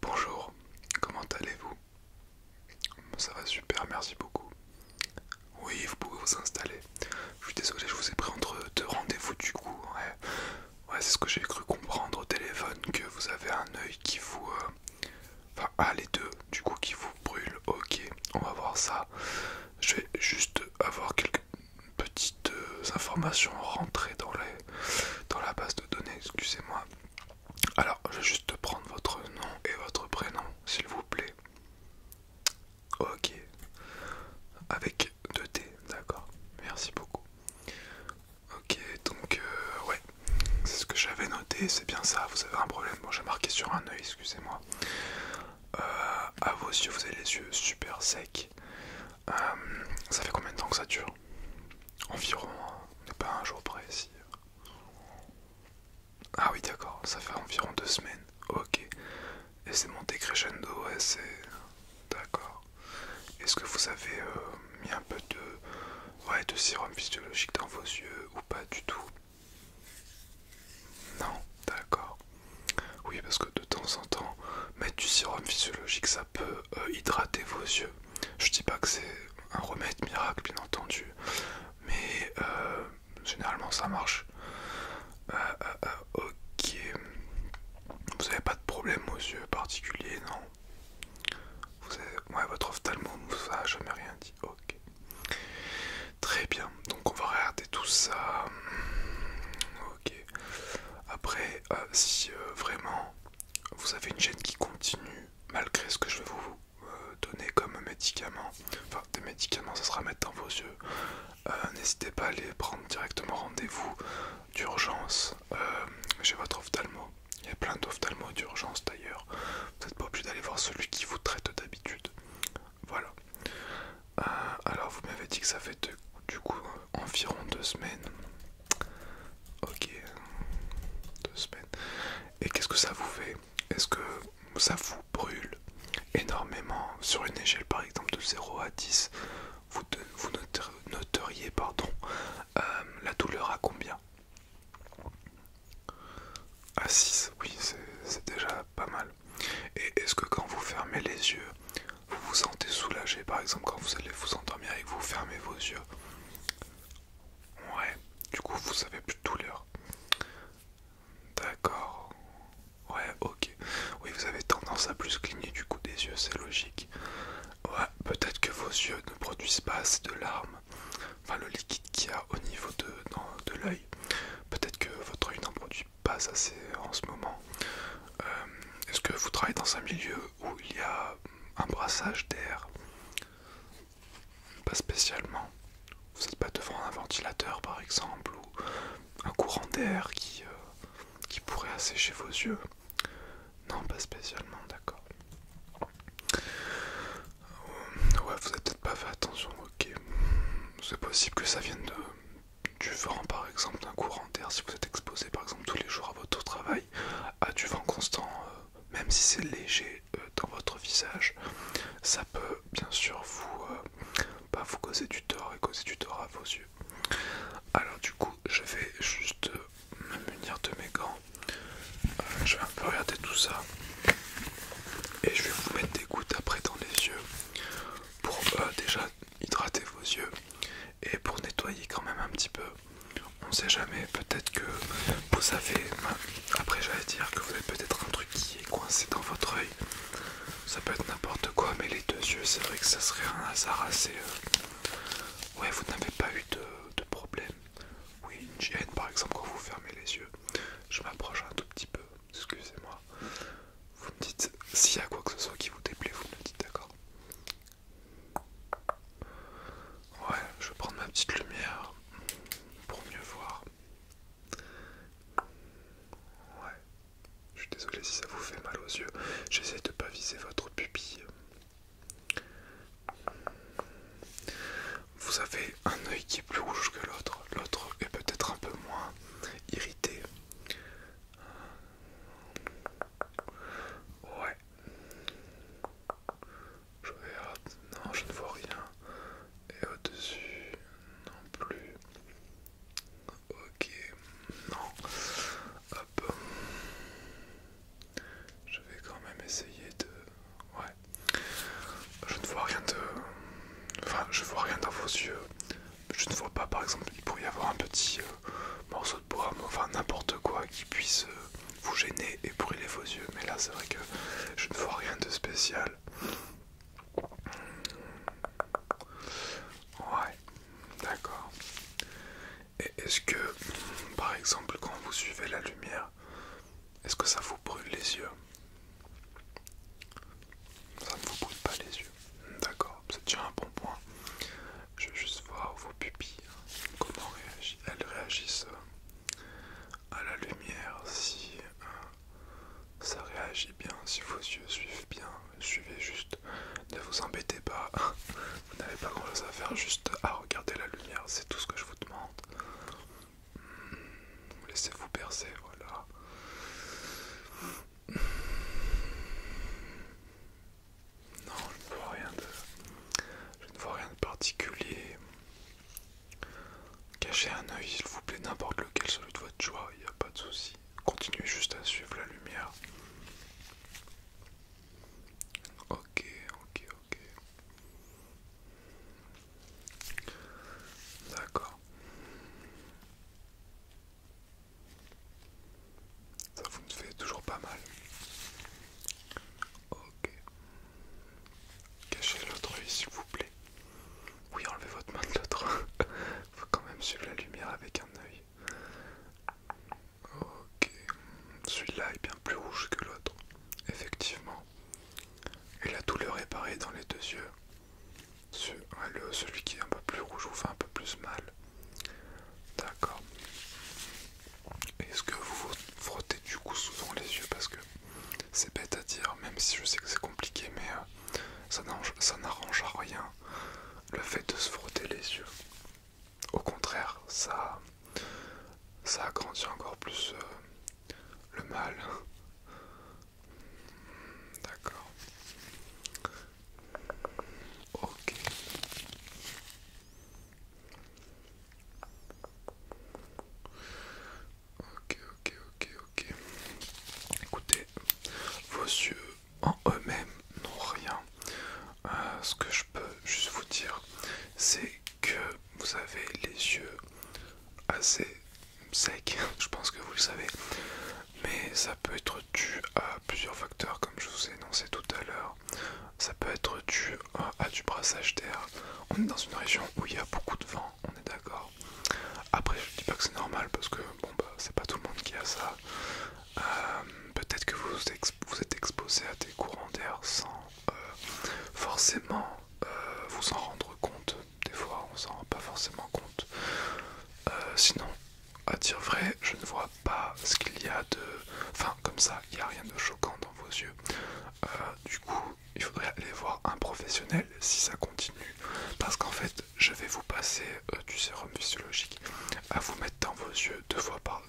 Bonjour, comment allez-vous Ça va super, merci beaucoup. Oui, vous pouvez vous installer. Je suis désolé, je vous ai pris entre deux rendez-vous du coup. Ouais, c'est ce que j'ai cru comprendre au téléphone, que vous avez un œil qui vous... Euh, enfin, ah, les deux, du coup, qui vous brûle. Ok, on va voir ça. Je vais juste avoir quelques petites euh, informations rentrées dans la base de données, excusez-moi. Alors, je vais juste prendre votre nom et votre prénom, s'il vous plaît. Ok. Avec deux T, d'accord. Merci beaucoup. Ok, donc, euh, ouais. C'est ce que j'avais noté, c'est bien ça. Vous avez un problème. Bon, j'ai marqué sur un œil, excusez-moi. A euh, à vos yeux, vous avez les yeux super secs. Euh, ça fait combien de temps que ça dure Environ, on n'est pas un jour près ici. Ah oui d'accord, ça fait environ deux semaines. Ok. Et c'est monté crescendo, ouais c'est... D'accord. Est-ce que vous avez euh, mis un peu de... Ouais, de sérum physiologique dans vos yeux ou pas du tout Non, d'accord. Oui parce que de temps en temps, mettre du sérum physiologique ça peut euh, hydrater vos yeux. Je dis pas que c'est un remède miracle, bien entendu, mais euh, généralement ça marche. Euh, euh, ok, vous n'avez pas de problème aux yeux particuliers, non vous avez... Ouais, votre ophtalmologue, ça a jamais rien dit. Ok, très bien. Donc on va regarder tout ça. Ok. Après, si vraiment vous avez une chaîne qui continue malgré ce que je vais vous euh, donner comme médicament. Enfin, des médicaments, ça sera mettre dans vos yeux. Euh, n'hésitez pas à aller prendre directement rendez-vous d'urgence J'ai euh, chez votre ophtalmo. Il y a plein d'ophtalmos d'urgence d'ailleurs. Vous n'êtes pas obligé d'aller voir celui qui vous traite d'habitude. Voilà. alors, vous m'avez dit que ça fait du coup environ deux semaines Ok, deux semaines. Et qu'est-ce que ça vous fait Est-ce que ça vous brûle énormément Sur une échelle par exemple de 0 à 10, vous, vous noteriez pardon, euh, la douleur à combien À 6, oui, c'est déjà pas mal. Et est-ce que quand vous fermez les yeux, vous vous sentez soulagé Par exemple, quand vous allez vous endormir et que vous fermez vos yeux, Ouais, du coup vous avez plus de douleur. D'accord. Ouais, ok. Oui, vous avez tendance à plus cligner du coup des yeux, c'est logique. Ouais, peut-être que vos yeux ne produisent pas assez de larmes. Enfin, le liquide qu'il y a au niveau de, l'œil. Peut-être que votre œil n'en produit pas assez en ce moment. Euh, est-ce que vous travaillez dans un milieu où il y a hum, un brassage d'air, pas spécialement. Vous n'êtes pas devant un ventilateur par exemple ou un courant d'air qui, euh, pourrait assécher vos yeux. Non, pas spécialement, d'accord. Euh, ouais, vous n'avez peut-être pas fait attention, ok. C'est possible que ça vienne de, du vent par exemple, d'un courant d'air si vous êtes exposé par exemple tous les jours à votre travail, à du vent constant, euh, même si c'est léger euh, dans votre visage, ça peut bien sûr vous, pas euh, bah, vous causer du tort et causer du tort à vos yeux. Alors du coup, je vais juste me munir de mes gants. je vais un peu regarder tout ça et je vais vous mettre des gouttes après dans les yeux pour déjà hydrater vos yeux et pour nettoyer quand même un petit peu euh, on ne sait jamais, peut-être que vous avez, après j'allais dire que vous avez peut-être un truc qui est coincé dans votre œil, ça peut être n'importe quoi, mais les deux yeux, c'est vrai que ça serait un hasard assez... Euh, ouais, vous n'avez pas eu de, problème. Oui, une par exemple quand vous fermez les yeux. Je m'approche un tout petit peu, excusez-moi. Vous me dites s'il y a quoi que ce soit qui vous déplaît, vous me dites, d'accord Ouais, je vais prendre ma petite lumière pour mieux voir. Ouais, je suis désolé si ça vous fait mal aux yeux. J'essaie de pas viser votre pupille. Vous avez un œil qui est plus rouge que l'autre. L'autre est peut-être un peu moins irrité. Ouais, je regarde, non, je ne vois rien. Et au-dessus, non plus. Ok, non. Hop. Je vais quand même essayer de... Ouais. Je ne vois rien de... Enfin, je ne vois rien dans vos yeux. Je ne vois pas, par exemple, il pourrait y avoir un petit euh, morceau de bois, enfin n'importe quoi qui puisse... Euh, vous gênez et brûlez vos yeux. Mais là, c'est vrai que je ne vois rien de spécial. Ouais, d'accord. Et est-ce que, par exemple, quand vous suivez la lumière, est-ce que ça vous brûle les yeux Ça ne vous brûle pas les yeux. D'accord, c'est déjà un bon point. Je vais juste voir vos pupilles, hein, comment réagissent, elles réagissent euh, à la lumière, si euh, ça réagit bien, si vos yeux suivent bien, suivez juste, ne vous embêtez pas, hein. vous n'avez pas grand chose à faire, juste à regarder la lumière, c'est tout ce que je vous demande. Hmm, laissez-vous percer, voilà. Hmm. Non, je ne vois rien de, je ne vois rien de particulier. Cachez un œil, s'il vous plaît, n'importe lequel, celui de votre choix, il n'y a pas de souci. Continuez juste à suivre la lumière. Ok, ok, ok. D'accord. Ça vous fait toujours pas mal. Ok. Cachez l'autre œil s'il vous plaît. Oui, enlevez votre main de l'autre. Faut quand même suivre la lumière avec un œil. Ok. Celui-là est bien plus rouge que l'autre. Effectivement. Et la douleur est pareille dans les deux yeux. celui qui est un peu plus rouge vous fait un peu plus mal. D'accord. Est-ce que vous vous frottez du coup souvent les yeux Parce que c'est bête à dire, même si je sais que c'est compliqué, mais euh, ça n'arrange à rien le fait de se frotter les yeux. Au contraire, ça, ça agrandit encore plus euh, le mal. Hmm, d'accord. Ok. Ok, ok, ok, ok. Écoutez, vos yeux en eux-mêmes n'ont rien. Euh, ce que je peux juste vous dire, c'est que vous avez les yeux assez secs, je pense que vous le savez, mais ça peut être dû à plusieurs facteurs comme je vous ai énoncé tout à l'heure ça peut être dû euh, à du brassage d'air. On est dans une région où il y a beaucoup de vent, on est d'accord. Après, je dis pas que c'est normal parce que bon bah c'est pas tout le monde qui a ça. Euh, peut-être que vous, vous êtes exposé à des courants d'air sans euh, forcément vous en rendre compte. Des fois, on s'en rend pas forcément compte. sinon, à dire vrai, je ne vois pas ce qu'il y a de... Enfin, comme ça, il n'y a rien de choquant dans vos yeux. Euh, du coup, il faudrait aller voir un professionnel si ça continue. Parce qu'en fait, je vais vous passer euh, du sérum physiologique à vous mettre dans vos yeux deux fois par...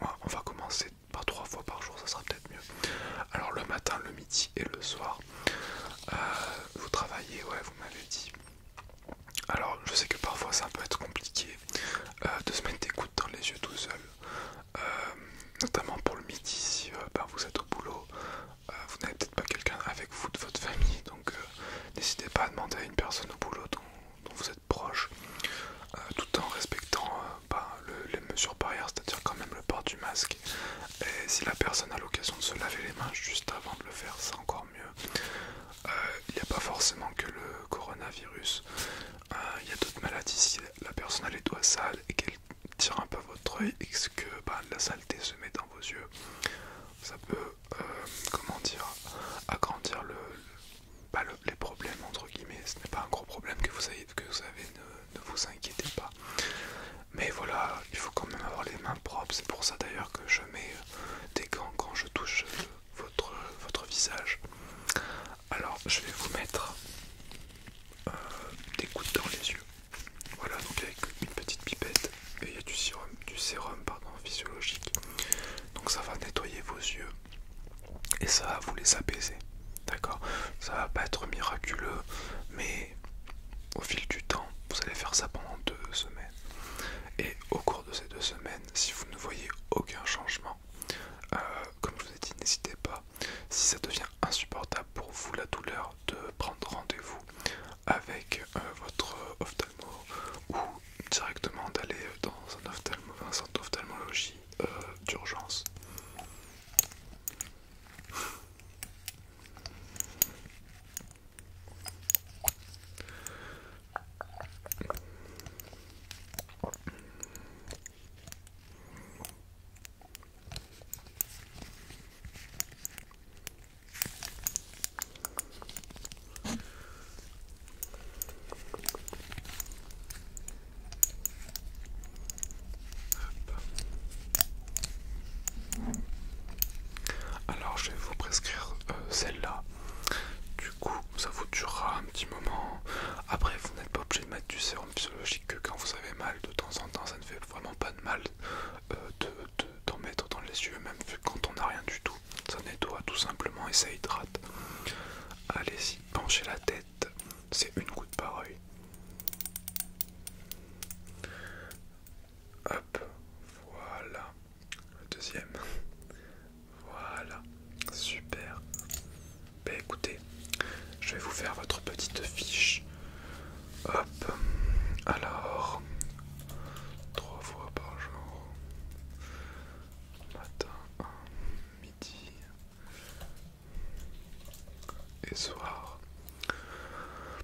Moi, on va commencer par trois fois par jour, ça sera peut-être mieux. Alors le matin, le midi et le soir. Euh, vous travaillez, ouais, vous m'avez dit. Alors je sais que parfois ça peut être compliqué de se mettre des gouttes dans les yeux tout seul. Euh, notamment pour le midi si euh, ben, vous êtes au boulot, euh, vous n'avez peut-être pas quelqu'un avec vous de votre famille, donc n'hésitez pas à demander à une personne au boulot dont, vous êtes proche, tout en respectant ben, les mesures barrières, c'est-à-dire quand même le port du masque. Et si la personne a l'occasion de se laver les mains juste avant de le faire, c'est encore mieux. Il n'y a pas forcément que le coronavirus, il euh, y a d'autres maladies si la personne a les doigts sales et qu'elle tire un peu votre œil et que bah, la saleté se met dans vos yeux ça peut euh, comment dire agrandir bah, les problèmes entre guillemets ce n'est pas un gros problème que vous avez que vous avez ne, vous inquiétez pas mais voilà il faut quand même avoir les mains propres c'est pour ça d'ailleurs que je mets euh, des gants quand je touche votre visage alors, je vais vous mettre euh, des gouttes dans les yeux. Voilà, donc avec une petite pipette et il y a du sérum, du sérum pardon, physiologique. Donc ça va nettoyer vos yeux et ça va vous les apaiser. D'accord Ça va pas être miraculeux, mais au fil du temps, vous allez faire ça pendant deux semaines. Et au cours de ces deux semaines, si vous ne voyez aucun changement, euh, comme je vous ai dit, n'hésitez pas, si ça devient insupportable pour vous la douleur, de prendre rendez-vous avec euh, votre ophtalmo ou directement d'aller dans un, ophtalmo, un centre d'ophtalmologie euh, d'urgence. Alors je vais vous prescrire euh, celle-là. Du coup, ça vous durera un petit moment. Après, vous n'êtes pas obligé de mettre du sérum physiologique que quand vous avez mal de temps en temps, ça ne fait vraiment pas de mal euh, d'en mettre dans les yeux, même quand on n'a rien du tout. Ça nettoie tout simplement et ça hydrate. Allez-y, penchez la tête, c'est une goutte par Hop, voilà. Le deuxième. Voilà, super. Ben écoutez, je vais vous faire votre petite fiche. Hop, alors, trois fois par jour. Matin, midi et soir.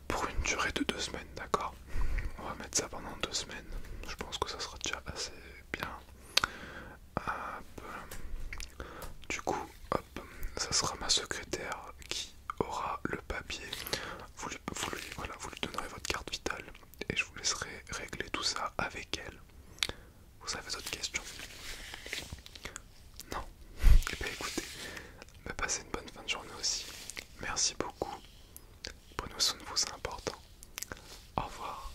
Pour une durée de deux semaines, d'accord On va mettre ça pendant deux semaines. Je pense que ça sera déjà assez bien. Hop. Du coup, hop, ça sera ma secrétaire qui aura le papier. Vous lui, vous donnerez votre carte vitale et je vous laisserai régler tout ça avec elle. Vous avez d'autres questions Non Eh bien écoutez, bah, passez une bonne fin de journée aussi. Merci beaucoup. Prenez soin de vous, c'est important. Au revoir.